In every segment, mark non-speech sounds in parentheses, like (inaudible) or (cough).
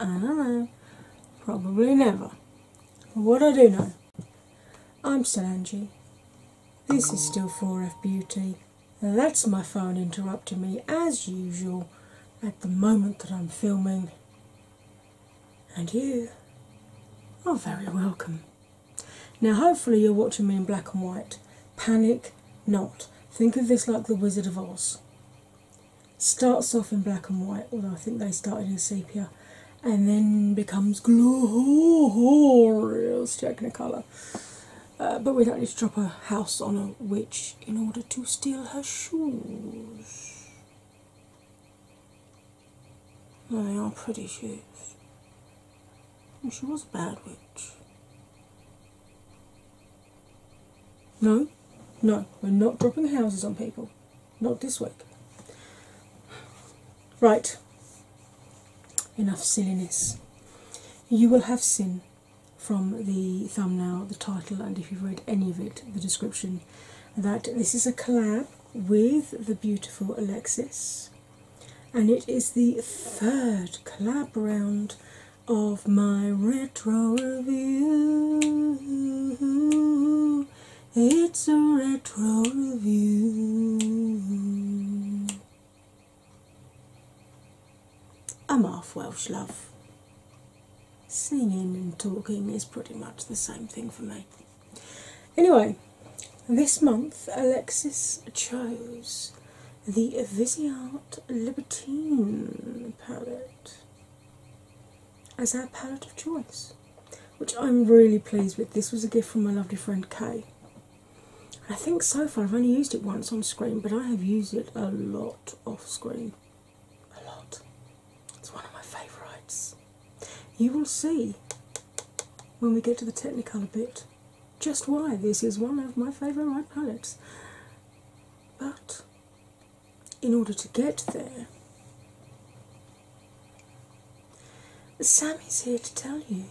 I don't know. Probably never. But What I do know. I'm still Angie. This is still 4F Beauty. That's my phone interrupting me as usual at the moment that I'm filming. And you are very welcome. Now, hopefully, you're watching me in black and white. Panic not. Think of this like the Wizard of Oz starts off in black and white, although I think they started in sepia, and then becomes glorious technicolor. colour. Uh, but we don't need to drop a house on a witch in order to steal her shoes. they are pretty shoes. And she was a bad witch. No, no, we're not dropping houses on people. Not this week. Right, enough silliness. You will have seen from the thumbnail, the title, and if you've read any of it, the description, that this is a collab with the beautiful Alexis, and it is the third collab round of my retro review. It's a retro review. I'm half Welsh, love. Singing and talking is pretty much the same thing for me. Anyway, this month Alexis chose the Viseart Libertine palette as our palette of choice, which I'm really pleased with. This was a gift from my lovely friend Kay. I think so far I've only used it once on screen, but I have used it a lot off screen. A lot. It's one of my favourites. You will see when we get to the Technicolor bit just why this is one of my favourite palettes. But in order to get there, Sammy's here to tell you.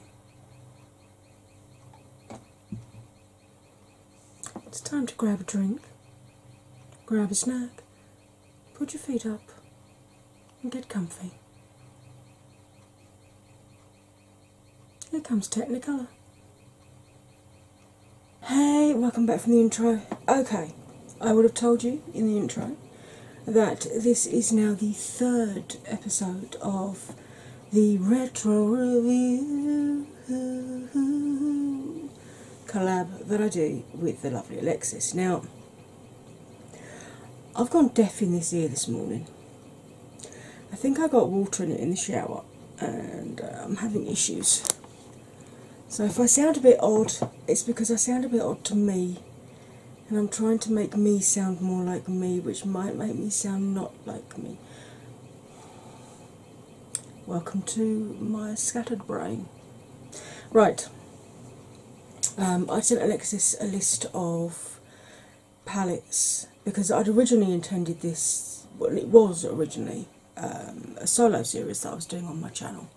It's time to grab a drink, grab a snack, put your feet up, and get comfy. Here comes Technicolor. Hey, welcome back from the intro. Okay, I would have told you in the intro that this is now the third episode of the Retro Review collab that I do with the lovely Alexis. Now, I've gone deaf in this ear this morning. I think I got water in it in the shower and uh, I'm having issues. So if I sound a bit odd, it's because I sound a bit odd to me, and I'm trying to make me sound more like me, which might make me sound not like me. Welcome to my scattered brain. Right, um, I sent Alexis a list of palettes because I'd originally intended this, well, it was originally um, a solo series that I was doing on my channel.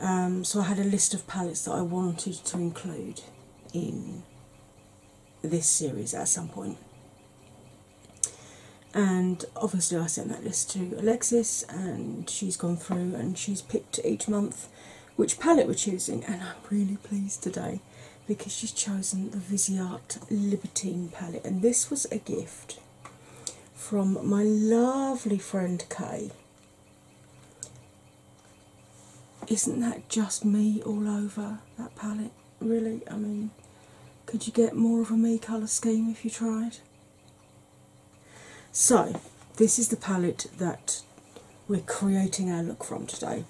Um, so I had a list of palettes that I wanted to include in this series at some And obviously, I sent that list to Alexis, and she's gone through and she's picked each month which palette we're choosing, and I'm really pleased today because she's chosen the Viseart Libertine palette, and this was a gift from my lovely friend Kay. Isn't that just me all over that palette? Really? I mean, could you get more of a me colour scheme if you tried? So, this is the palette that we're creating our look from today.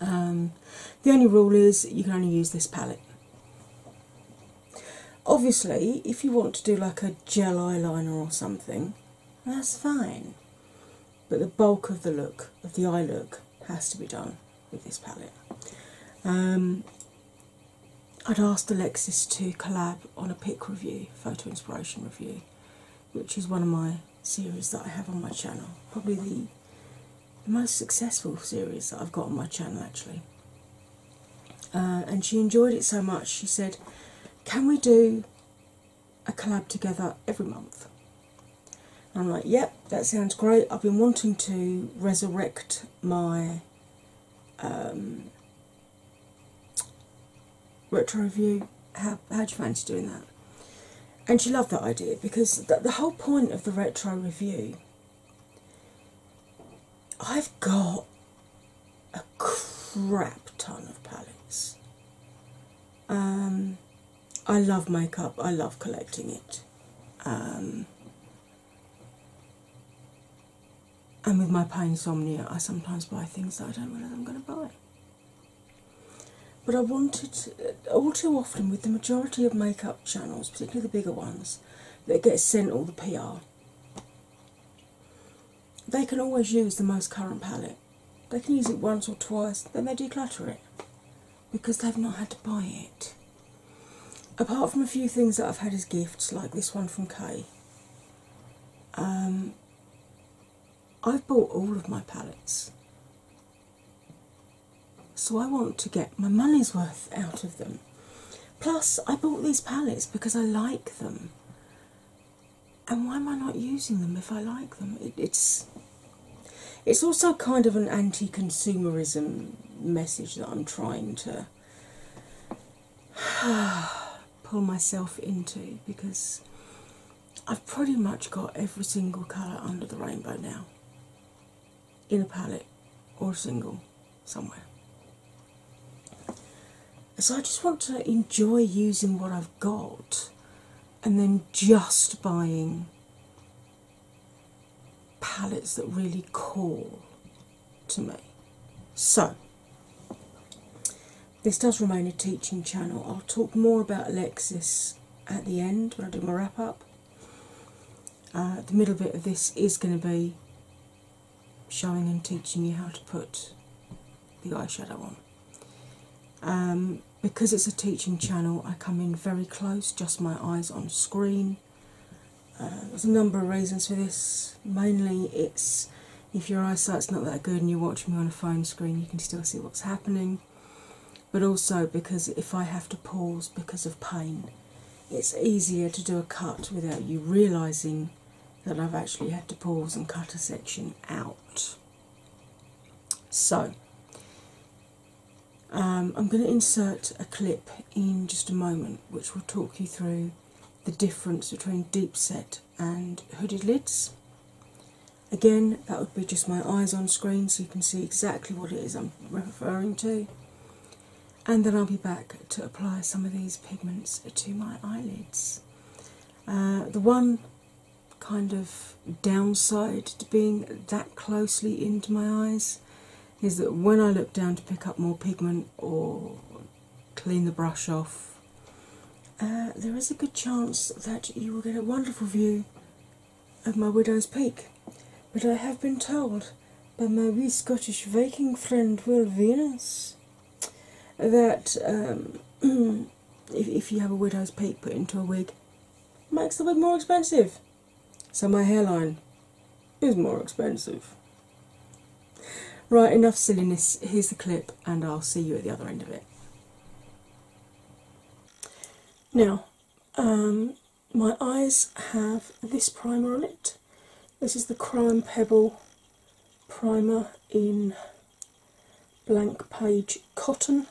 Um, the only rule is you can only use this palette. Obviously, if you want to do like a gel eyeliner or something, that's fine. But the bulk of the look, of the eye look, has to be done with this palette. Um, I'd asked Alexis to collab on a pick review, photo inspiration review, which is one of my series that I have on my channel. Probably the the most successful series that I've got on my channel actually. Uh, and she enjoyed it so much, she said, Can we do a collab together every month? I'm like, Yep, that sounds great. I've been wanting to resurrect my um, retro review. How, how do you fancy doing that? And she loved that idea because the, whole point of the retro review, I've got a crap ton of palettes. Um, I love makeup, I love collecting it. Um, and with my pain insomnia, I sometimes buy things that I don't realise I'm going to buy but I wanted, all too often with the majority of makeup channels, particularly the bigger ones that get sent all the PR, they can always use the most current palette. They can use it once or twice, then they declutter it because they've not had to buy it. Apart from a few things that I've had as gifts, like this one from Kay, um, I've bought all of my palettes so I want to get my money's worth out of them. Plus, I bought these palettes because I like them. And why am I not using them if I like them? it's it's also kind of an anti-consumerism message that I'm trying to (sighs) pull myself into because I've pretty much got every single colour under the rainbow now in a palette or a single somewhere. So I just want to enjoy using what I've got and then just buying palettes that really call to me. So, this does remain a teaching channel. I'll talk more about Alexis at the end when I do my wrap up. Uh, the middle bit of this is going to be showing and teaching you how to put the eyeshadow on. Um, because it's a teaching channel, I come in very close, just my eyes on screen. Uh, there's a number of reasons for this. Mainly, it's if your eyesight's not that good and you're watching me on a phone screen, you can still see what's happening but also because if I have to pause because of pain, it's easier to do a cut without you realizing that I've actually had to pause and cut a section out. So, um, I'm going to insert a clip in just a moment which will talk you through the difference between deep set and hooded lids. Again, that would be just my eyes on screen so you can see exactly what it is I'm referring to, and then I'll be back to apply some of these pigments to my eyelids. Uh, the one kind of downside to being that closely into my eyes is that when I look down to pick up more pigment or clean the brush off, uh, there is a good chance that you will get a wonderful view of my widow's peak, but I have been told by my wee Scottish Viking friend Will Venus that um, (clears throat) if, you have a widow's peak put into a wig, makes the wig more expensive. So my hairline is more expensive. Right, enough silliness. Here's the clip, and I'll see you at the other end of it. Now, um, my eyes have this primer on it. This is the Crime Pebble primer in Blank Page Cotton.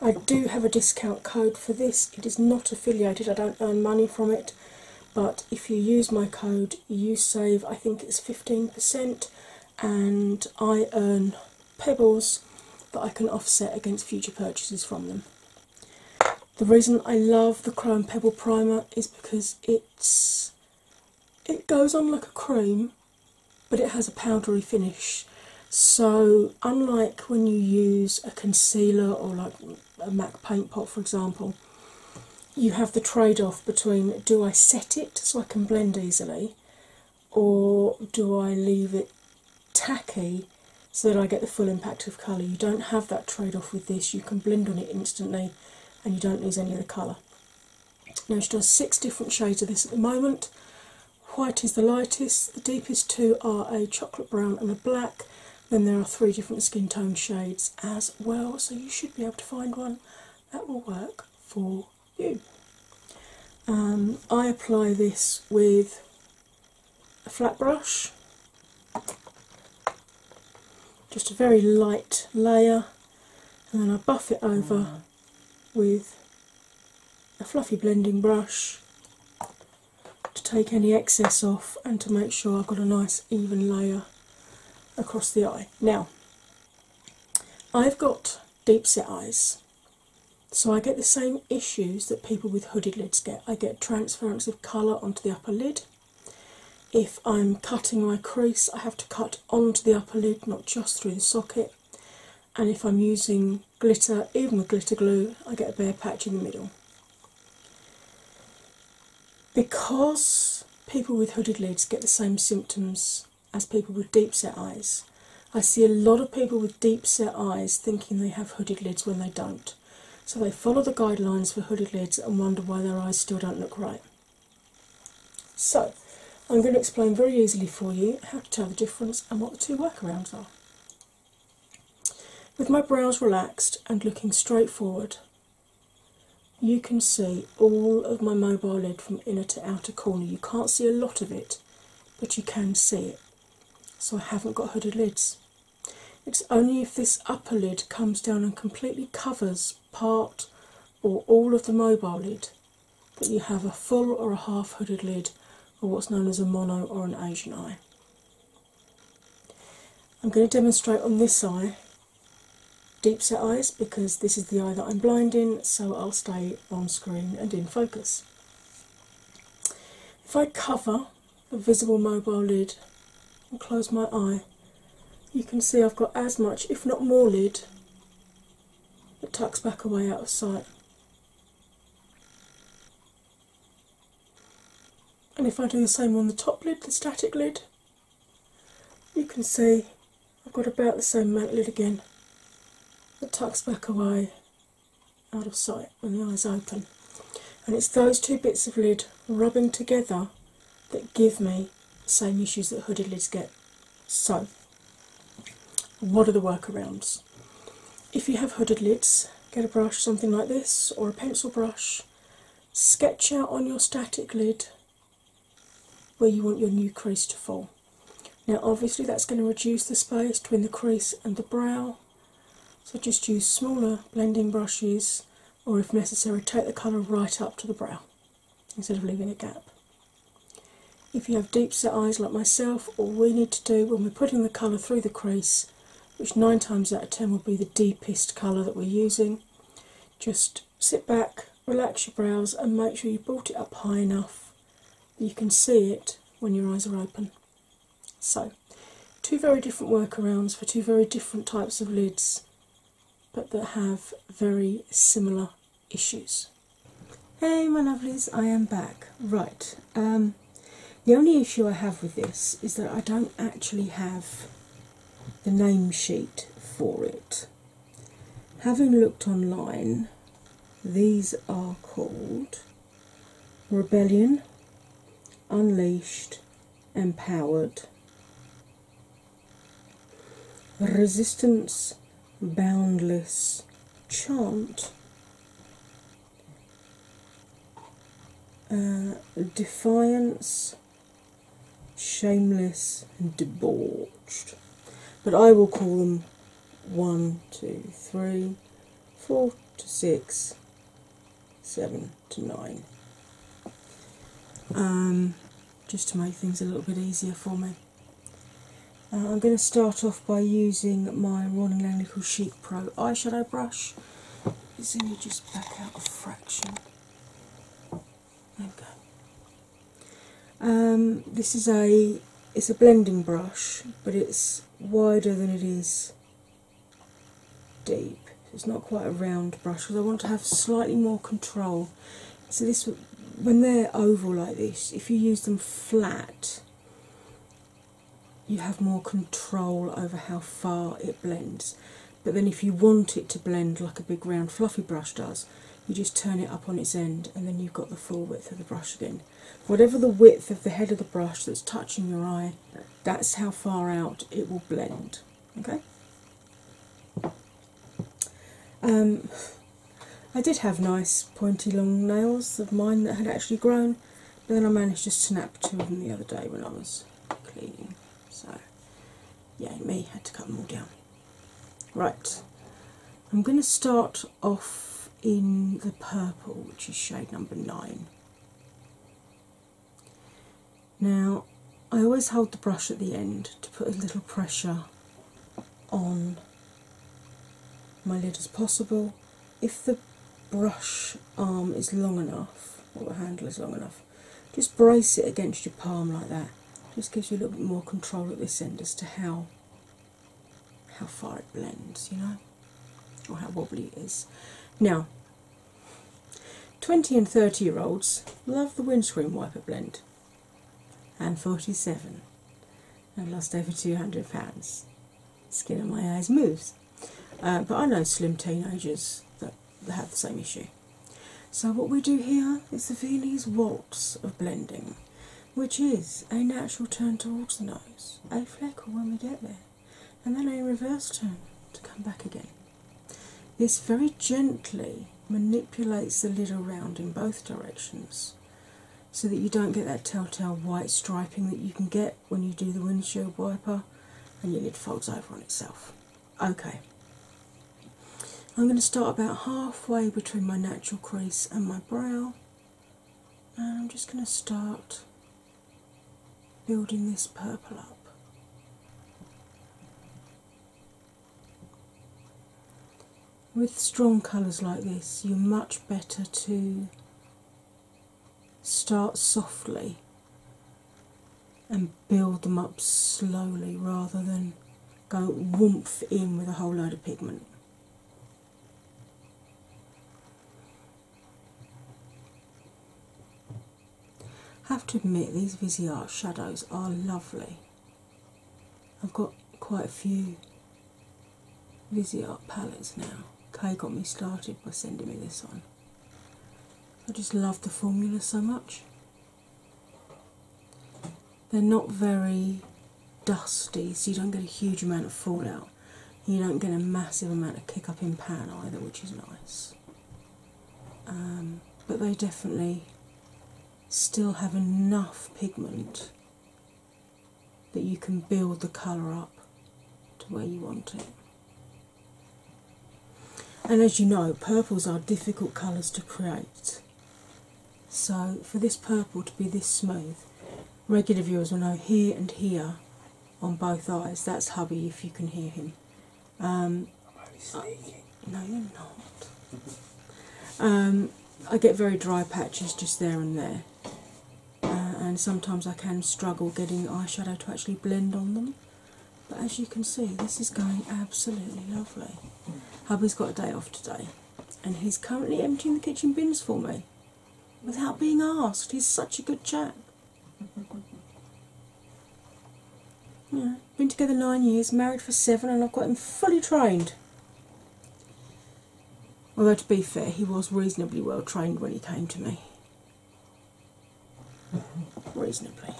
I do have a discount code for this. It is not affiliated, I don't earn money from it, but if you use my code, you save I think it's 15%, and I earn pebbles that I can offset against future purchases from them. The reason I love the Chrome Pebble Primer is because it's it goes on like a cream but it has a powdery finish. So unlike when you use a concealer or like a MAC paint pot for example, you have the trade-off between do I set it so I can blend easily or do I leave it tacky so that I get the full impact of colour? You don't have that trade off with this, you can blend on it instantly and you don't lose any of the colour. Now, she does six different shades of this at the moment. White is the lightest, the deepest two are a chocolate brown and a black. Then there are three different skin tone shades as well, so you should be able to find one that will work for you. Um, I apply this with a flat brush, just a very light layer, and then I buff it over mm. with a fluffy blending brush to take any excess off and to make sure I've got a nice even layer across the eye. Now, I've got deep set eyes, so I get the same issues that people with hooded lids get. I get transference of colour onto the upper lid. If I'm cutting my crease, I have to cut onto the upper lid, not just through the socket. And if I'm using glitter, even with glitter glue, I get a bare patch in the middle. Because people with hooded lids get the same symptoms as people with deep set eyes, I see a lot of people with deep set eyes thinking they have hooded lids when they don't. So they follow the guidelines for hooded lids and wonder why their eyes still don't look right. So I'm going to explain very easily for you how to tell the difference and what the two workarounds are. With my brows relaxed and looking straight forward, you can see all of my mobile lid from inner to outer corner. You can't see a lot of it, but you can see it so I haven't got hooded lids. It's only if this upper lid comes down and completely covers part or all of the mobile lid that you have a full or a half hooded lid or what's known as a mono or an Asian eye. I'm going to demonstrate on this eye deep set eyes because this is the eye that I'm blind in, so I'll stay on screen and in focus. If I cover the visible mobile lid and close my eye, you can see I've got as much, if not more, lid that tucks back away out of sight. And if I do the same on the top lid, the static lid, you can see I've got about the same mantle lid again that tucks back away out of sight when the eyes open. And it's those two bits of lid rubbing together that give me the same issues that hooded lids get. So, what are the workarounds? If you have hooded lids, get a brush, something like this, or a pencil brush, sketch out on your static lid where you want your new crease to fall. Now, obviously, that's going to reduce the space between the crease and the brow, so just use smaller blending brushes, or if necessary, take the colour right up to the brow instead of leaving a gap. If you have deep set eyes like myself, all we need to do when we're putting the colour through the crease, which nine times out of ten will be the deepest colour that we're using, just sit back, relax your brows, and make sure you brought it up high enough that you can see it when your eyes are open. So, two very different workarounds for two very different types of lids, but that have very similar issues. Hey, my lovelies, I am back. Right, um, the only issue I have with this is that I don't actually have the name sheet for it. Having looked online, these are called Rebellion, unleashed, empowered. Resistance, boundless, chant. Uh, defiance, shameless, and debauched. But I will call them one, two, three, 4 to 6, 7 to 9. Um, just to make things a little bit easier for me. Uh, I'm going to start off by using my Rolling Langnickel Chic Pro eyeshadow brush. It's only just back out a fraction. There we go. Um, this is a it's a blending brush, but it's wider than it is deep. It's not quite a round brush because I want to have slightly more control. So this, when they're oval like this, if you use them flat, you have more control over how far it blends. But then if you want it to blend like a big round fluffy brush does, you just turn it up on its end and then you've got the full width of the brush again. Whatever the width of the head of the brush that's touching your eye, that's how far out it will blend. Okay. Um, I did have nice pointy long nails of mine that had actually grown, but then I managed to snap two of them the other day when I was cleaning. So, yeah, me had to cut them all down. Right, I'm going to start off in the purple, which is shade number nine. Now, I always hold the brush at the end to put a little pressure on my lid as possible. If the brush arm is long enough, or the handle is long enough, just brace it against your palm like that. Just gives you a little bit more control at this end as to how how far it blends, you know, or how wobbly it is. Now, 20 and 30 year olds love the windscreen wiper blend, and 47. I've lost over 200 pounds. Skin on my eyes moves. Uh, but I know slim teenagers that have the same issue. So, what we do here is the Viennese waltz of blending which is a natural turn towards the nose, a fleckle when we get there, and then a reverse turn to come back again. This very gently manipulates the lid around in both directions so that you don't get that telltale white striping that you can get when you do the windshield wiper and your lid folds over on itself. Okay, I'm going to start about halfway between my natural crease and my brow and I'm just going to start building this purple up. With strong colours like this, you're much better to start softly and build them up slowly rather than go whoomp in with a whole load of pigment have to admit these Viseart shadows are lovely. I've got quite a few Viseart palettes now. Kay got me started by sending me this one. I just love the formula so much. They're not very dusty so you don't get a huge amount of fallout. You don't get a massive amount of kick up in pan either, which is nice. Um, but they definitely still have enough pigment that you can build the colour up to where you want it. And as you know, purples are difficult colours to create. So for this purple to be this smooth, regular viewers will know here and here on both eyes. That's hubby, if you can hear him. Um, I, no, you're not. Um, I get very dry patches just there and there, uh, and sometimes I can struggle getting eyeshadow to actually blend on them. But as you can see, this is going absolutely lovely. Hubby's got a day off today, and he's currently emptying the kitchen bins for me without being asked. He's such a good chap. (laughs) yeah, been together nine years, married for seven, and I've got him fully trained. Although, to be fair, he was reasonably well trained when he came to me. (laughs) Reasonably.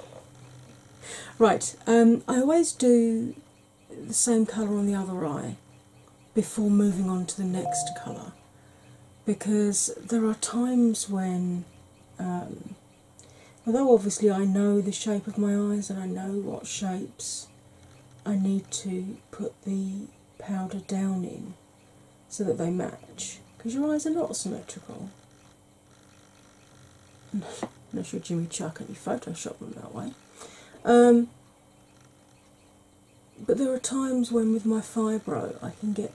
Right, um, I always do the same colour on the other eye before moving on to the next colour because there are times when, um, although obviously I know the shape of my eyes and I know what shapes I need to put the powder down in so that they match because your eyes are not symmetrical. Not sure are Jimmy Chuck and Photoshop them that way. Um, but there are times when, with my fibro, I can get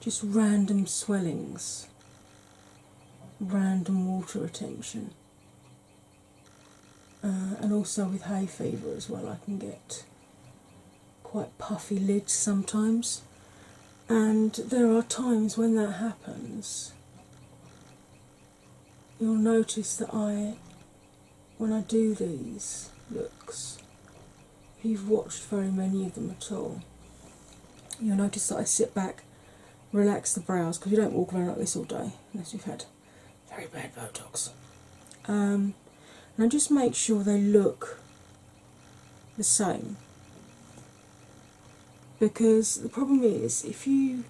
just random swellings, random water retention, uh, and also with hay fever as well, I can get quite puffy lids sometimes. And there are times when that happens, you'll notice that I when I do these looks, if you've watched very many of them at all, you'll notice that I sit back, relax the brows because you don't walk around like this all day unless you've had very bad Botox. Um, and I just make sure they look the same because the problem is if you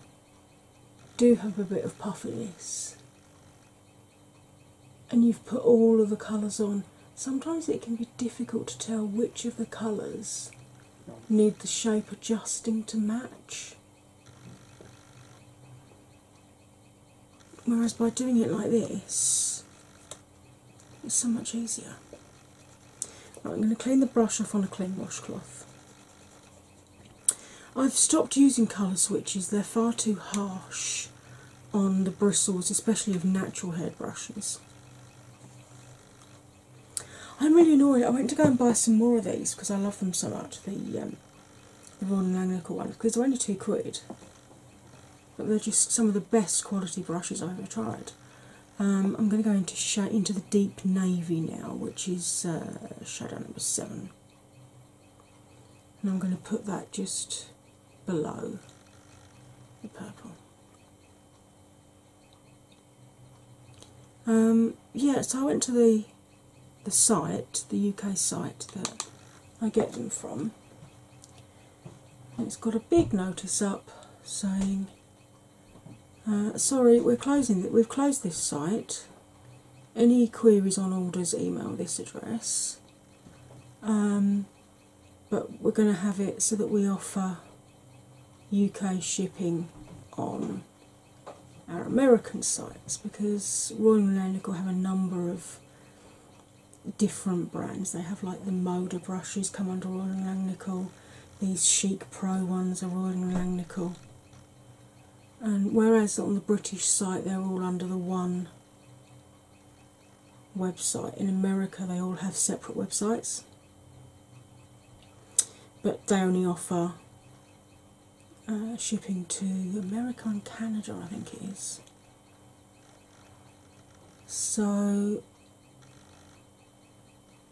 do have a bit of puffiness and you've put all of the colours on, sometimes it can be difficult to tell which of the colours need the shape adjusting to match. Whereas by doing it like this, it's so much easier. Right, I'm going to clean the brush off on a clean washcloth. I've stopped using colour switches, they're far too harsh on the bristles, especially of natural hair brushes. I'm really annoyed. I went to go and buy some more of these because I love them so much. The um, the Ron ones because they're only two quid, but they're just some of the best quality brushes I've ever tried. Um, I'm going to go into the deep navy now, which is uh, shadow number seven and I'm going to put that just below the purple. Um, yeah, so I went to the the site, the UK site that I get them from. it's got a big notice up saying, uh, "Sorry, we're closing. We've closed this site any queries on orders, email this address. Um, but we're going to have it so that we offer UK shipping on our American sites because Royal & will have a number of different brands. They have like the Moda brushes come under Royal and Langnickel, these chic pro ones are Royal and Langnickel and whereas on the British site they're all under the one website, in America they all have separate websites, but they offer uh, shipping to America and Canada, I think it is. So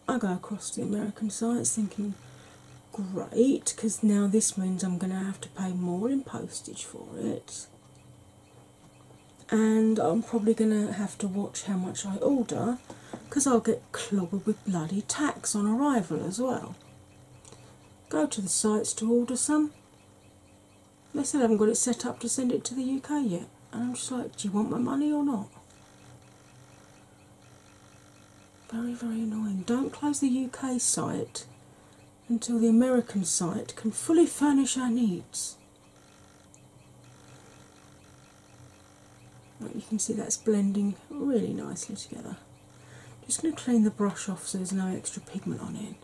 I go across to the American sites thinking great because now this means I'm going to have to pay more in postage for it. And I'm probably going to have to watch how much I order because I'll get clobbered with bloody tax on arrival as well. Go to the sites to order some. They said I haven't got it set up to send it to the UK yet. And I'm just like, do you want my money or not? Very, very annoying. Don't close the UK site until the American site can fully furnish our needs. you can see that's blending really nicely together. just going to clean the brush off so there's no extra pigment on it.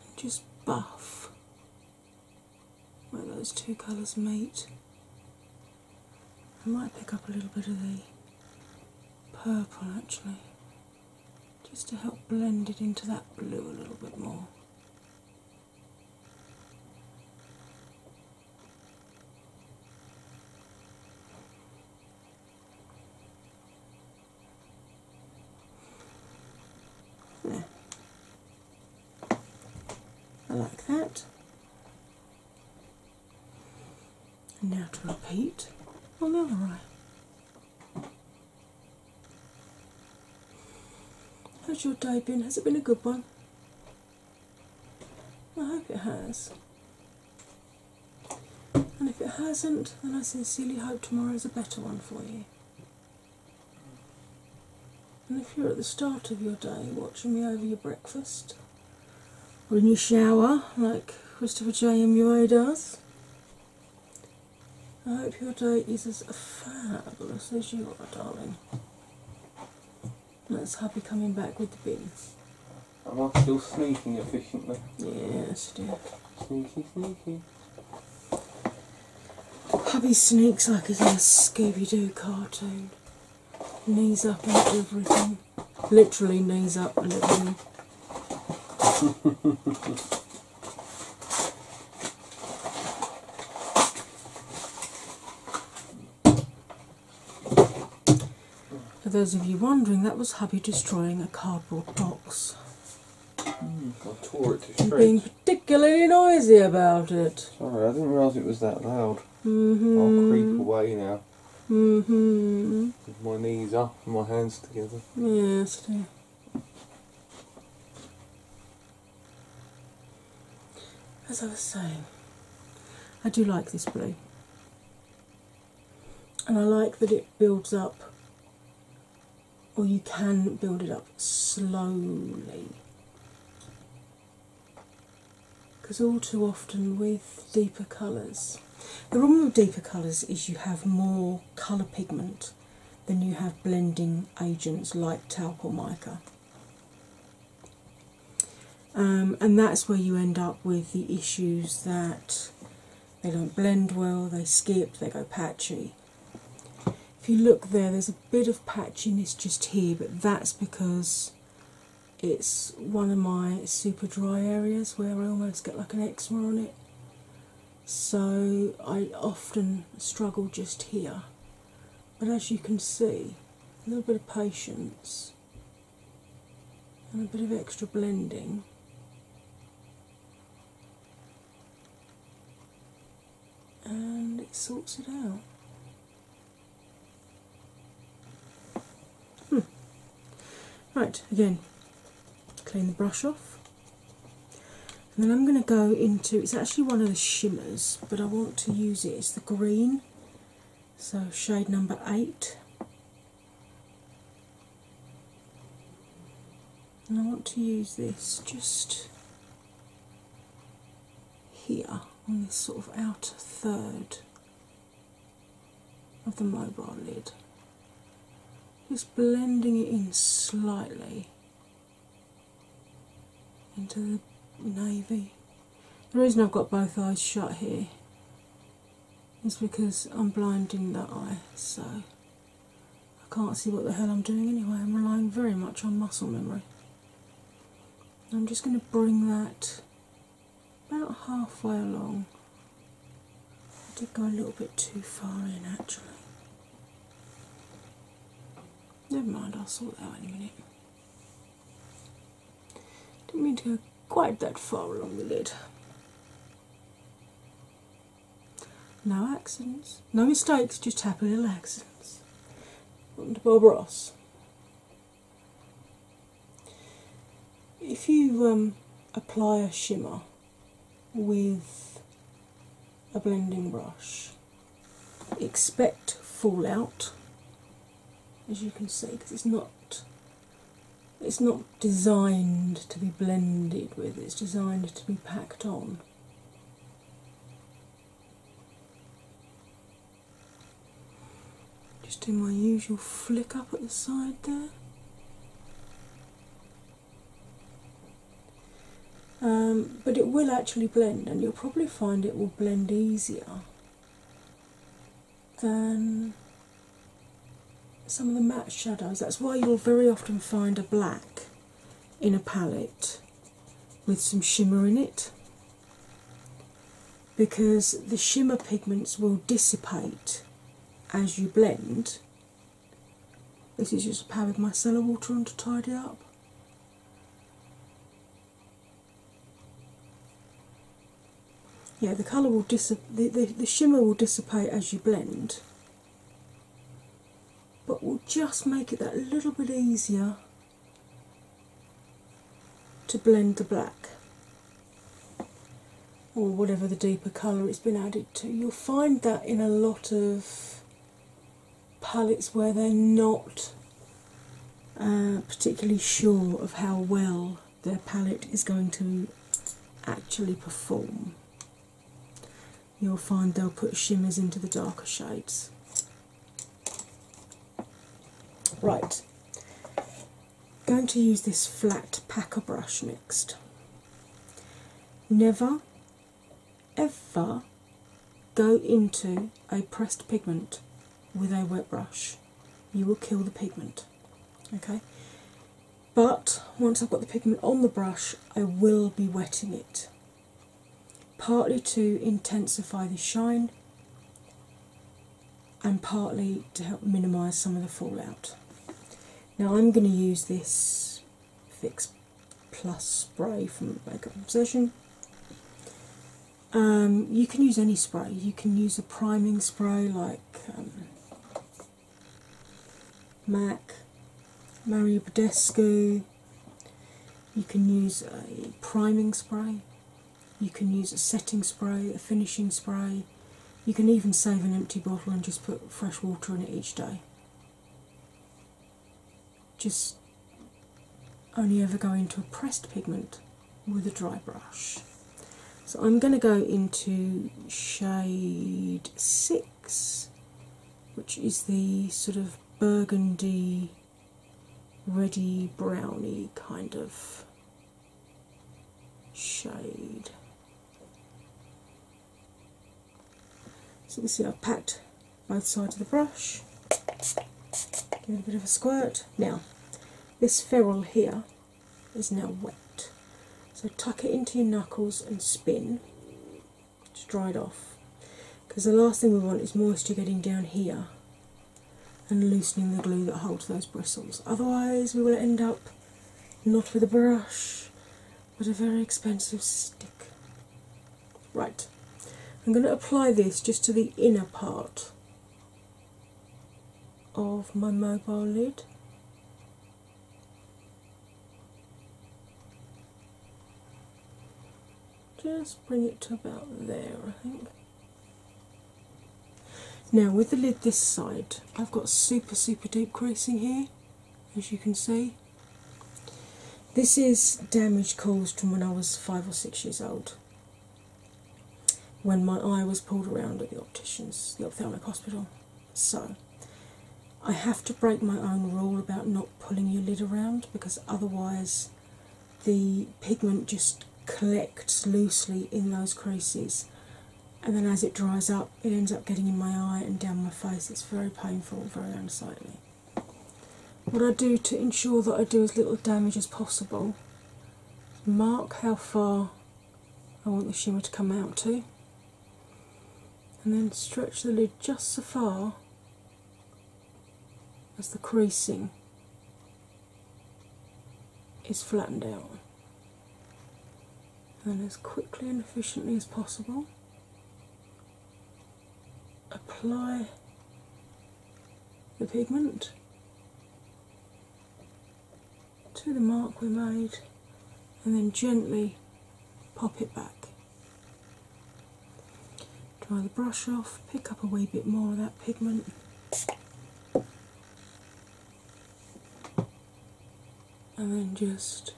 And just buff where those two colours meet. I might pick up a little bit of the purple actually just to help blend it into that blue a little bit more. There. I like that. And now to repeat on the other eye. How's your day been? Has it been a good one? I hope it has. And if it hasn't, then I sincerely hope tomorrow's a better one for you. And if you're at the start of your day watching me over your breakfast, or in your shower like Christopher J. M. Ure does. I hope your day is as fabulous as you are, darling. That's Happy coming back with the bins. Am I still sneaking efficiently? Yes, dear. Sneaky, sneaky. Hubby sneaks like a little Scooby Doo cartoon. Knees up and everything literally knees up (laughs) For those of you wondering, that was hubby destroying a cardboard box. I hmm, tore Being particularly noisy about it. Sorry, I didn't realise it was that loud. Mm-hmm. I'll creep away now. Mm-hmm. my knees up and my hands together. Yes, As I was saying, I do like this blue. And I like that it builds up, or you can build it up slowly. Because all too often with deeper colours, the problem with deeper colours is you have more colour pigment than you have blending agents like talc or mica. Um, and that's where you end up with the issues that they don't blend well, they skip, they go patchy. If you look there, there's a bit of patchiness just here, but that's because it's one of my super dry areas where I almost get like an eczema on it. So I often struggle just here. But as you can see, a little bit of patience and a bit of extra blending. And it sorts it out. Hmm. Right, again, clean the brush off. And then I'm going to go into it's actually one of the shimmers, but I want to use it, it's the green, so shade number eight. And I want to use this just here on this sort of outer third of the mobile lid, just blending it in slightly into the navy. The reason I've got both eyes shut here is because I'm blinding that eye, so I can't see what the hell I'm doing anyway. I'm relying very much on muscle memory. I'm just going to bring that about halfway along. I did go a little bit too far in actually. Never mind, I'll sort that out in a minute. Didn't mean to go quite that far along the lid. No accidents, no mistakes, just happy little accidents. Welcome to Bob Ross. If you um, apply a shimmer with a blending brush, expect fallout, as you can see, because it's not it's not designed to be blended with, it's designed to be packed on. Just do my usual flick up at the side there. Um, but it will actually blend, and you'll probably find it will blend easier than some of the matte shadows. That's why you'll very often find a black in a palette with some shimmer in it because the shimmer pigments will dissipate as you blend. This is just a pad with micellar water on to tidy up. Yeah, the colour will dis the, the, the shimmer will dissipate as you blend, but we'll just make it that little bit easier to blend the black or whatever the deeper colour it's been added to. You'll find that in a lot of palettes where they're not uh, particularly sure of how well their palette is going to actually perform. You'll find they'll put shimmers into the darker shades. Right, I'm going to use this flat packer brush next. Never ever go into a pressed pigment with a wet brush. You will kill the pigment. Okay? But once I've got the pigment on the brush, I will be wetting it. Partly to intensify the shine, and partly to help minimise some of the fallout. Now, I'm going to use this Fix Plus spray from Makeup Obsession. Um, you can use any spray, you can use a priming spray like um, MAC, Mario Badescu. You can use a priming spray, you can use a setting spray, a finishing spray, you can even save an empty bottle and just put fresh water in it each day. Just only ever go into a pressed pigment with a dry brush. So I'm going to go into shade 6, which is the sort of burgundy, reddy, browny kind of shade. So you see I've packed both sides of the brush, give it a bit of a squirt. Now, this ferrule here is now wet, so tuck it into your knuckles and spin to dry it off. Because the last thing we want is moisture getting down here and loosening the glue that holds those bristles. Otherwise, we will end up not with a brush, but a very expensive stick. Right, I'm going to apply this just to the inner part of my mobile lid. Just bring it to about there, I think. Now, with the lid this side, I've got super, super deep creasing here, as you can see. This is damage caused from when I was five or six years old, when my eye was pulled around at the optician's, the ophthalmic hospital. So, I have to break my own rule about not pulling your lid around because otherwise the pigment just collects loosely in those creases and then as it dries up, it ends up getting in my eye and down my face. It's very painful very unsightly. What I do to ensure that I do as little damage as possible, mark how far I want the shimmer to come out to, and then stretch the lid just so far as the creasing is flattened out. And as quickly and efficiently as possible, apply the pigment to the mark we made and then gently pop it back. Dry the brush off, pick up a wee bit more of that pigment and then just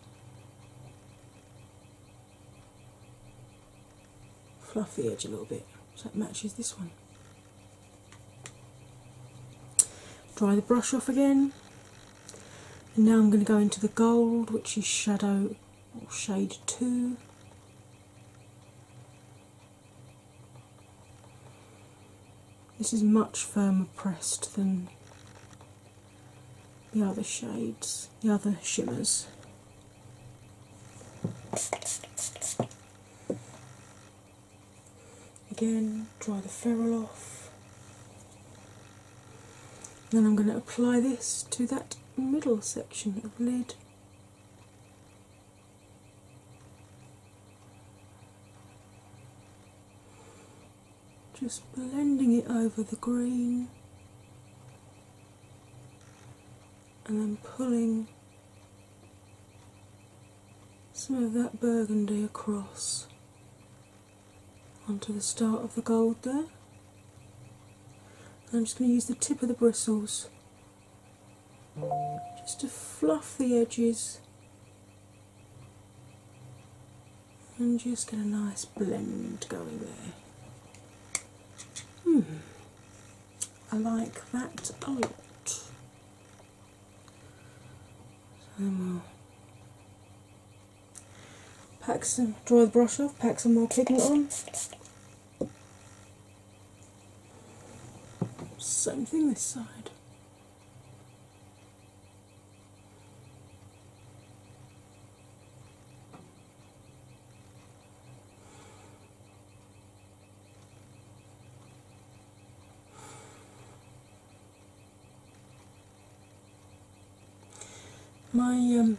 fluff the edge a little bit so it matches this one. Dry the brush off again, and now I'm going to go into the gold, which is shadow or shade 2. This is much firmer pressed than the other shades, the other shimmers. Again, dry the ferrule off. Then I'm going to apply this to that middle section of lid. Just blending it over the green and then pulling some of that burgundy across onto the start of the gold there. I'm just going to use the tip of the bristles just to fluff the edges and just get a nice blend going there. Hmm, I like that a lot. So pack some, dry the brush off, pack some more pigment on. Same thing this side. My um,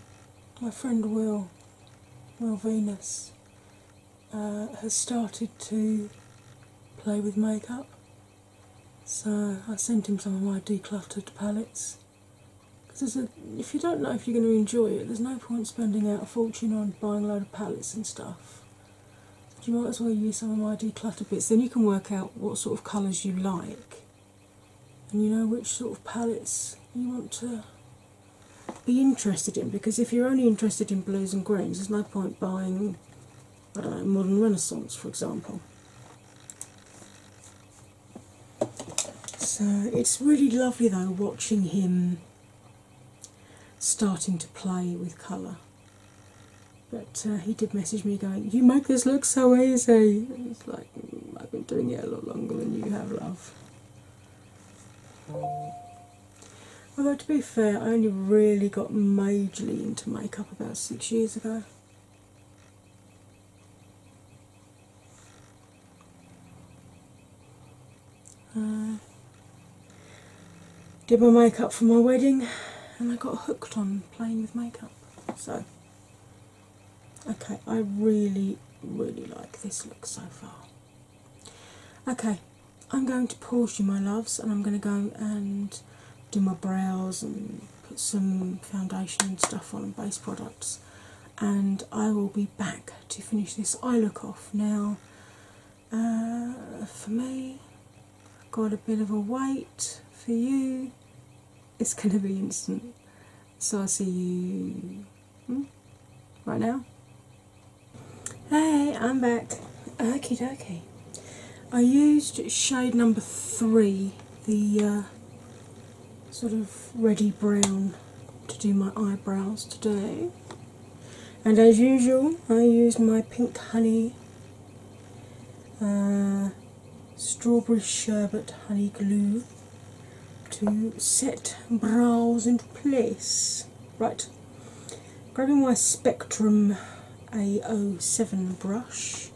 my friend Will, Will Venus, uh, has started to play with makeup. So I sent him some of my decluttered palettes. Because if you don't know if you're going to enjoy it, there's no point spending out a fortune on buying a load of palettes and stuff. you might as well use some of my decluttered bits. Then you can work out what sort of colours you like, and you know which sort of palettes you want to be interested in. Because if you're only interested in blues and greens, there's no point buying uh, modern Renaissance, for example. So it's really lovely though watching him starting to play with colour. But uh, he did message me going, You make this look so easy. it's like, mm, I've been doing it a lot longer than you have, love. Although, to be fair, I only really got majorly into makeup about six years ago. Uh, did my makeup for my wedding and I got hooked on playing with makeup. So, okay, I really, really like this look so far. Okay, I'm going to pause you, my loves, and I'm going to go and do my brows and put some foundation and stuff on and base products. And I will be back to finish this eye look off. Now, uh, for me, got a bit of a wait. For you, it's going to be instant. So I'll see you hmm, right now. Hey, I'm back. Okie dokie. I used shade number three, the uh, sort of ready brown, to do my eyebrows today. And as usual, I used my pink honey uh, strawberry sherbet honey glue to set brows into place. Right, grabbing my Spectrum A07 brush,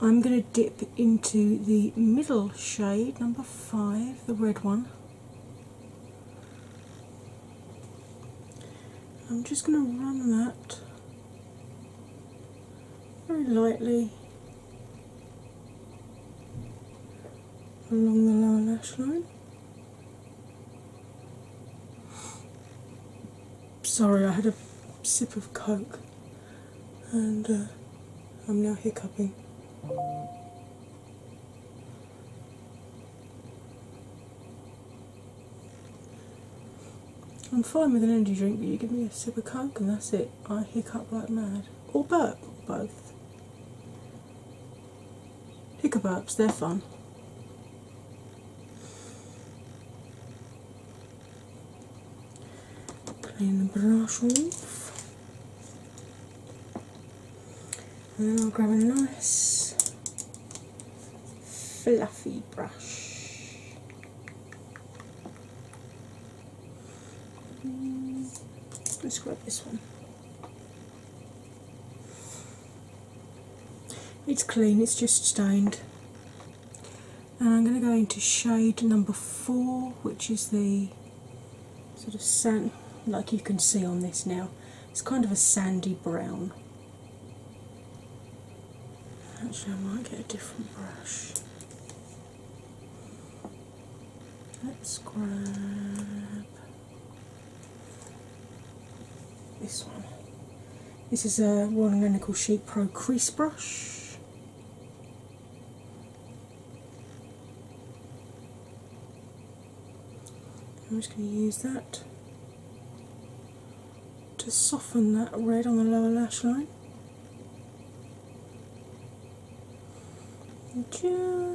I'm going to dip into the middle shade, number five, the red one. I'm just going to run that very lightly along the lower lash line. Sorry, I had a sip of Coke and uh, I'm now hiccuping. I'm fine with an energy drink, but you give me a sip of Coke and that's it. I hiccup like mad. Or burp, both. Hiccup ups, they're fun. Clean the brush off. And I'll grab a nice fluffy brush. Let's grab this one. It's clean, it's just stained. And I'm going to go into shade number four, which is the sort of sand, like you can see on this now, it's kind of a sandy brown. Actually, I might get a different brush. Let's grab this one. This is a Royal and Sheep Pro Crease Brush. I'm just going to use that to soften that red on the lower lash line.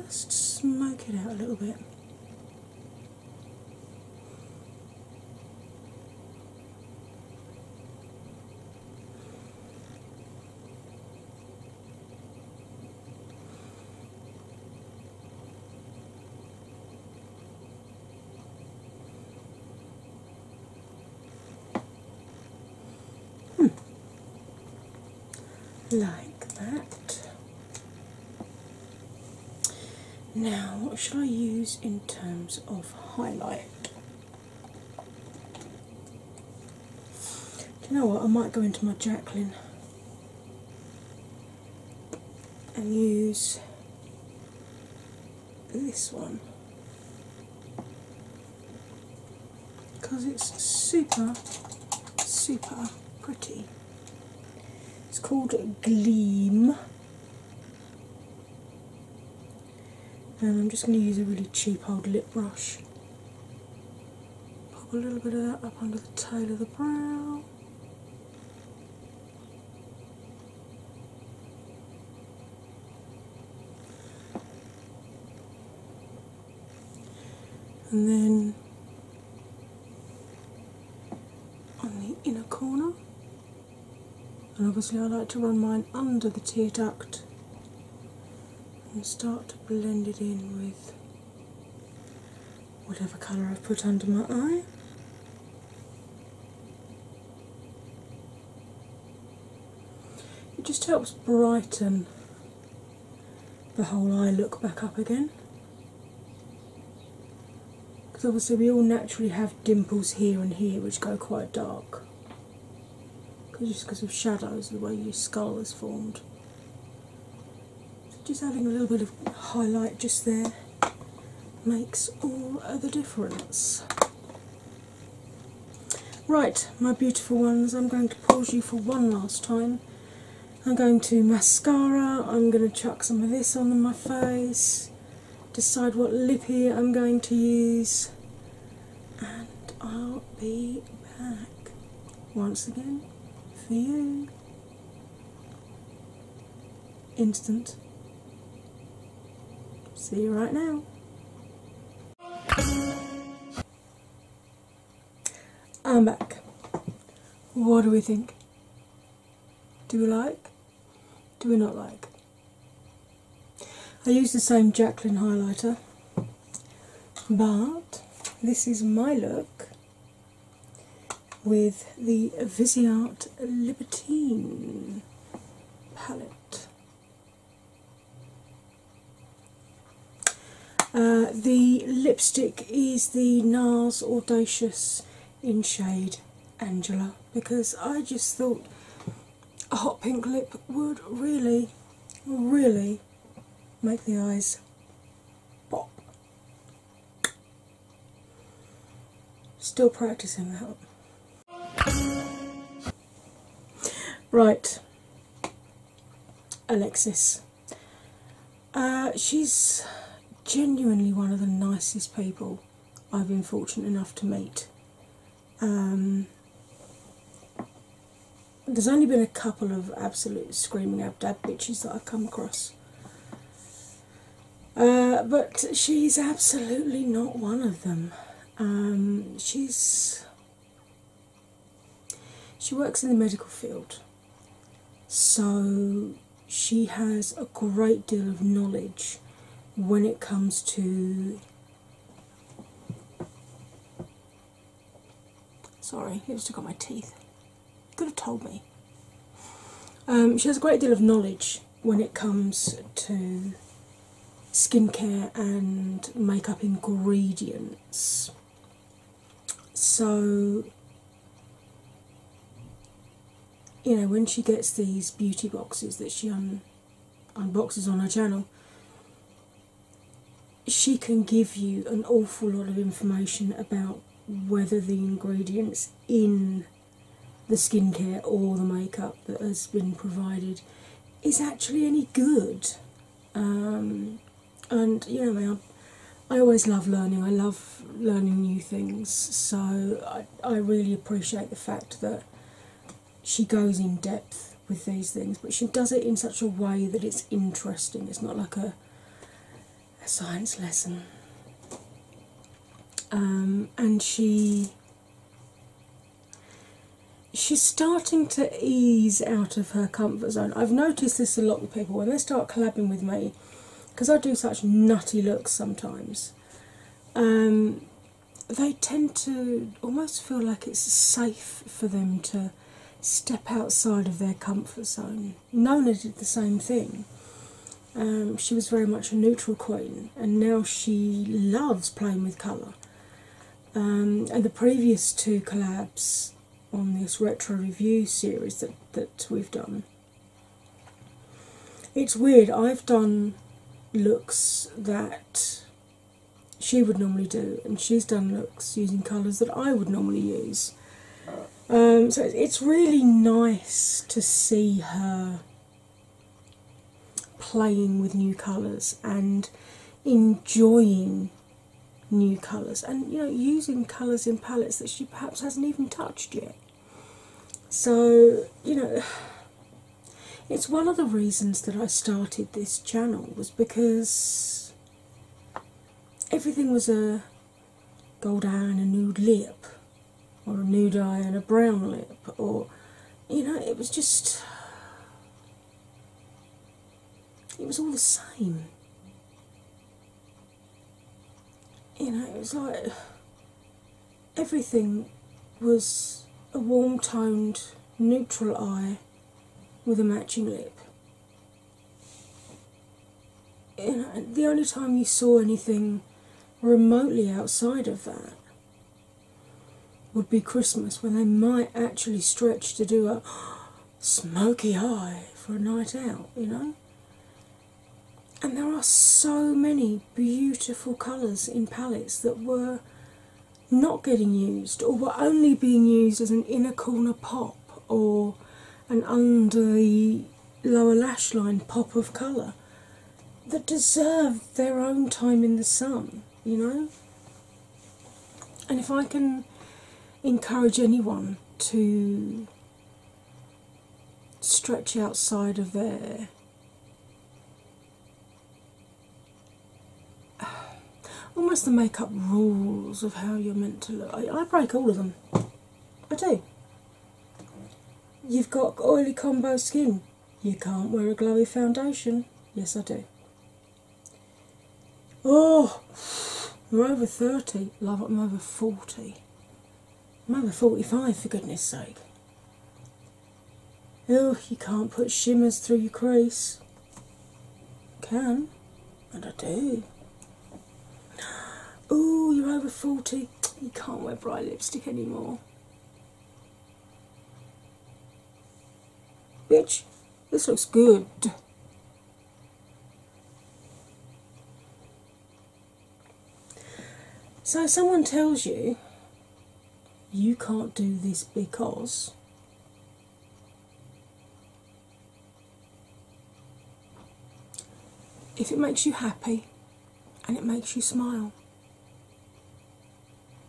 just smoke it out a little bit. Hmm. like that now, what should I use in terms of highlight? Do you know what? I might go into my Jacqueline and use this one because it's super, super pretty. It's called Gleam. And I'm just going to use a really cheap old lip brush. Pop a little bit of that up under the tail of the brow. And then on the inner corner, and obviously, I like to run mine under the tear duct and start to blend it in with whatever colour I've put under my eye. It just helps brighten the whole eye look back up again. Because obviously, we all naturally have dimples here and here which go quite dark. Just because of shadows, the way your skull is formed. just having a little bit of highlight just there makes all the difference. Right, my beautiful ones, I'm going to pause you for one last time I'm going to mascara, I'm going to chuck some of this on my face, decide what lippy I'm going to use, and I'll be back once again for you. Instant. See you right now. I'm back. What do we think? Do we like? Do we not like? I use the same Jacqueline highlighter, but this is my look with the Viseart Libertine palette. Uh, the lipstick is the NARS Audacious in shade Angela because I just thought a hot pink lip would really, really make the eyes pop. Still practicing that. Right, Alexis, uh, she's genuinely one of the nicest people I've been fortunate enough to meet. Um, there's only been a couple of absolute screaming ab bitches that I've come across. Uh, but she's absolutely not one of them. Um, she's she works in the medical field, so she has a great deal of knowledge when it comes to. Sorry, it just got my teeth. Could have told me. Um, she has a great deal of knowledge when it comes to skincare and makeup ingredients. So you know when she gets these beauty boxes that she unboxes on her channel she can give you an awful lot of information about whether the ingredients in the skincare or the makeup that has been provided is actually any good um, and you know I always love learning. I love learning new things. So I, I really appreciate the fact that she goes in depth with these things, but she does it in such a way that it's interesting. It's not like a a science lesson. Um, and she she's starting to ease out of her comfort zone. I've noticed this a lot with people when they start collabing with me because I do such nutty looks sometimes. Um, they tend to almost feel like it's safe for them to step outside of their comfort zone. Nona did the same thing. Um, she was very much a neutral queen, and now she loves playing with colour. Um, and the previous two collabs on this retro review series that, that we've done it's weird, I've done looks that she would normally do, and she's done looks using colours that I would normally use. Um, so it's really nice to see her playing with new colours and enjoying new colours and you know using colours in palettes that she perhaps hasn't even touched yet so, you know, (sighs) it's one of the reasons that I started this channel was because everything was a gold eye and a nude lip, or a nude eye and a brown lip, or you know, it was just. (sighs) It was all the same you know, it was like everything was a warm toned neutral eye with a matching lip. You know, the only time you saw anything remotely outside of that would be Christmas when they might actually stretch to do a (gasps) smoky eye for a night out, you know? and there are so many beautiful colours in palettes that were not getting used or were only being used as an inner corner pop or an under the lower lash line pop of colour that deserve their own time in the sun, you know? And if I can encourage anyone to Stretchy outside of there. (sighs) Almost the makeup rules of how you're meant to look. I, break all of them. I do. You've got oily combo skin. You can't wear a glowy foundation. Yes, I do. Oh, (sighs) you are over 30. Love, I'm over 40. Mother 45 for goodness sake. Oh, you can't put shimmers through your crease. Can and I do. (gasps) Oh, you're over 40. You can't wear bright lipstick anymore. Bitch, this looks good. So, if someone tells you you can't do this because if it makes you happy and it makes you smile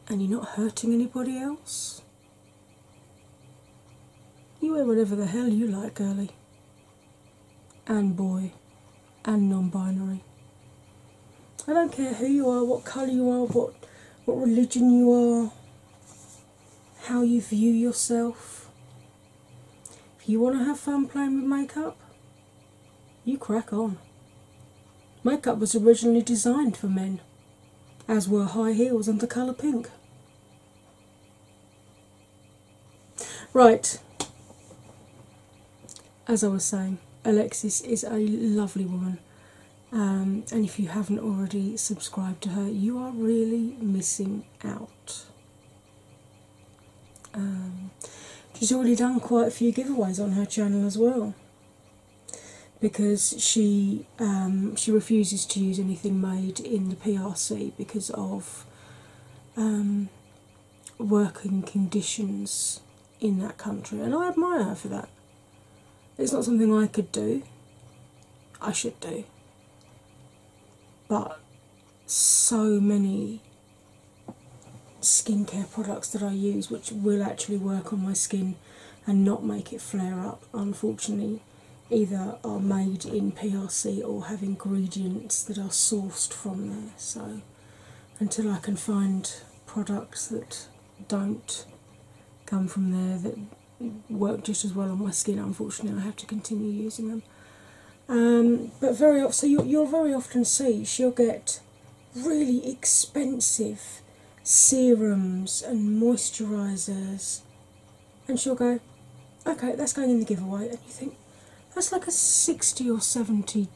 and you're not hurting anybody else, you wear whatever the hell you like, girlie and boy and non-binary. I don't care who you are, what colour you are, what what religion you are, how you view yourself. If you want to have fun playing with makeup, you crack on. Makeup was originally designed for men, as were high heels and the colour pink. Right, as I was saying, Alexis is a lovely woman, um, and if you haven't already subscribed to her, you are really missing out. Um, she's already done quite a few giveaways on her channel as well because she um, she refuses to use anything made in the PRC because of um, working conditions in that country, and I admire her for that. It's not something I could do, I should do, but so many skincare products that I use which will actually work on my skin and not make it flare up, unfortunately, either are made in PRC or have ingredients that are sourced from there. So until I can find products that don't come from there that work just as well on my skin, unfortunately, I have to continue using them. Um, but very often, so you, you'll very often see she'll get really expensive serums and moisturisers and she'll go, Okay, that's going in the giveaway. And you think, That's like a 60 or 70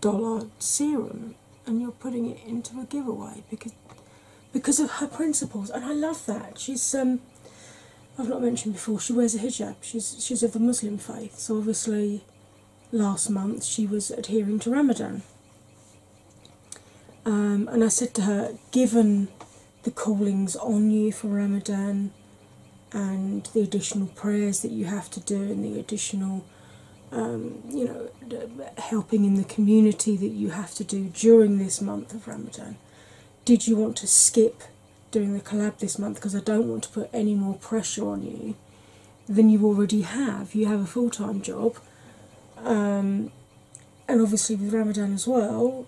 dollar serum, and you're putting it into a giveaway because because of her principles and I love that. She's um, I've not mentioned before, she wears a hijab. She's she's of the Muslim faith. So obviously last month she was adhering to Ramadan. Um, and I said to her, given the callings on you for Ramadan and the additional prayers that you have to do and the additional um, you know helping in the community that you have to do during this month of Ramadan. Did you want to skip doing the collab this month because I don't want to put any more pressure on you than you already have? You have a full time job, um, and obviously with Ramadan as well,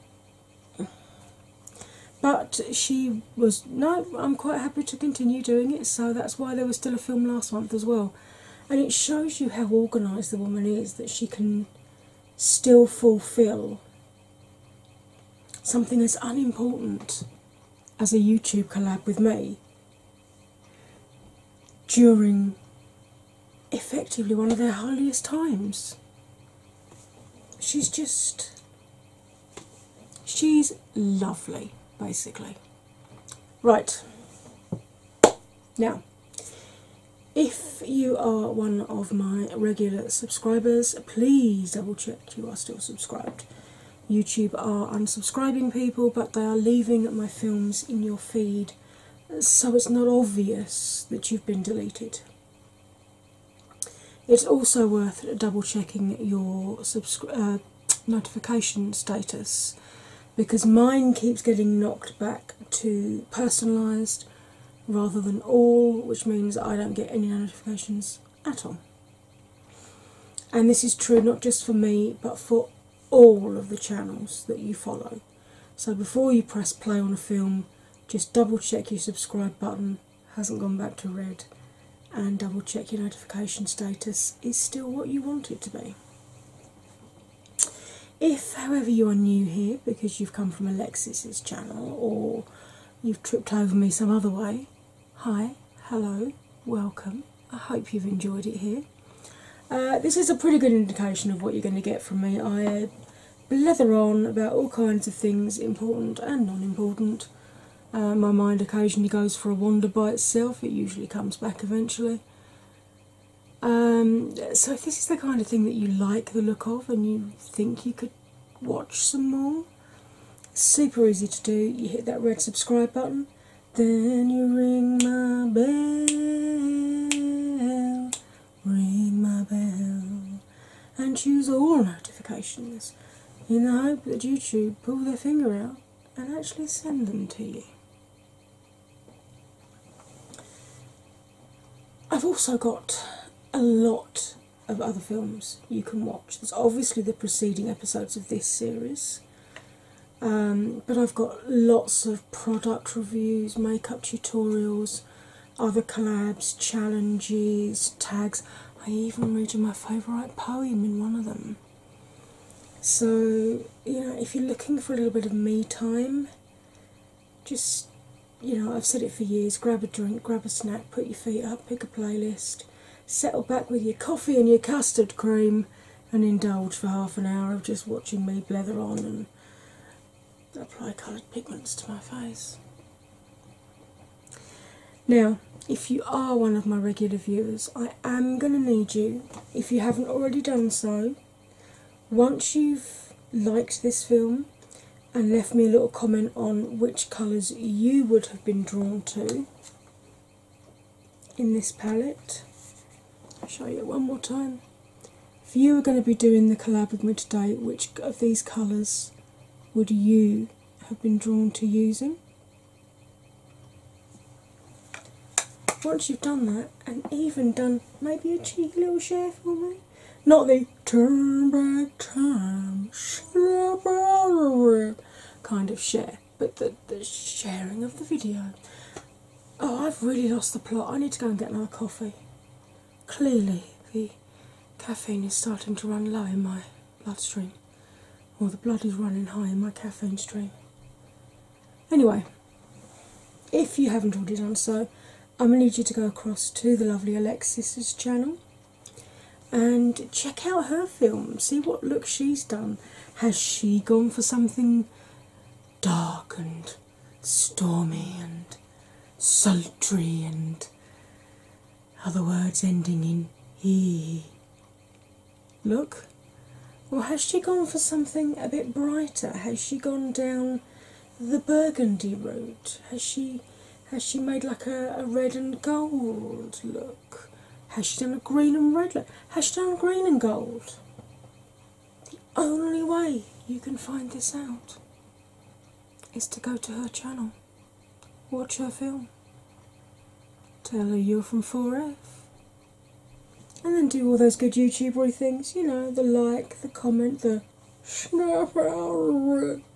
but she was no i'm quite happy to continue doing it so that's why there was still a film last month as well and it shows you how organised the woman is that she can still fulfil something as unimportant as a youtube collab with me during effectively one of their holiest times she's just She's lovely, basically. Right, now, if you are one of my regular subscribers, please double check you are still subscribed. YouTube are unsubscribing people, but they are leaving my films in your feed so it's not obvious that you've been deleted. It's also worth double checking your uh, notification status because mine keeps getting knocked back to personalised rather than all, which means I don't get any notifications at all. And this is true not just for me but for all of the channels that you follow. So before you press play on a film, just double check your subscribe button hasn't gone back to red, and double check your notification status is still what you want it to be. If, however, you are new here because you've come from Alexis's channel or you've tripped over me some other way, hi, hello, welcome. I hope you've enjoyed it here. Uh, this is a pretty good indication of what you're going to get from me. I uh, blether on about all kinds of things, important and non important. Uh, my mind occasionally goes for a wander by itself, it usually comes back eventually. Um, so, if this is the kind of thing that you like the look of and you think you could watch some more, super easy to do. You hit that red subscribe button, then you ring my bell, ring my bell and choose all notifications in the hope that YouTube pull their finger out and actually send them to you. I've also got a lot of other films you can watch. There's obviously the preceding episodes of this series, um, but I've got lots of product reviews, makeup tutorials, other collabs, challenges, tags. I even read my favourite poem in one of them. So, you know, if you're looking for a little bit of me time, just, you know, I've said it for years grab a drink, grab a snack, put your feet up, pick a playlist, settle back with your coffee and your custard cream, and indulge for half an hour of just watching me blather on apply coloured pigments to my face. Now, if you are one of my regular viewers, I am going to need you, if you haven't already done so, once you've liked this film and left me a little comment on which colours you would have been drawn to in this palette, I'll show you one more time. If you were going to be doing the collab with me today, which of these colours would you have been drawn to using? Once you've done that, and even done maybe a cheeky little share for me, not the turn back time share kind of share, but the, the sharing of the video. Oh, I've really lost the plot. I need to go and get another coffee clearly the caffeine is starting to run low in my bloodstream, or the blood is running high in my caffeine stream. Anyway, if you haven't already done so, I'm going to need you to go across to the lovely Alexis's channel and check out her film, see what look she's done. Has she gone for something dark and stormy and sultry and other words ending in he. Look, or has she gone for something a bit brighter? Has she gone down the burgundy road? Has she has she made like a red and gold look? Has she done a green and red look? Has she done green and gold? The only way you can find this out is to go to her channel. Watch her film. Tell her you're from 4F. And then do all those good YouTubery things, you know, the like, the comment, the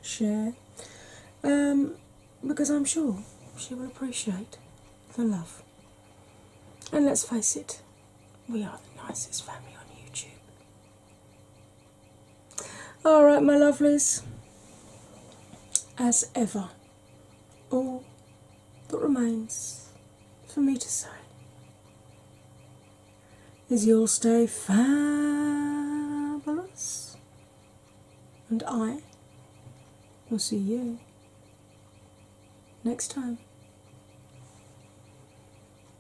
share. Um, because I'm sure she will appreciate the love. And let's face it, we are the nicest family on YouTube. All right, my lovelies, as ever, all that remains for me to say is you'll stay fabulous, and I will see you next time.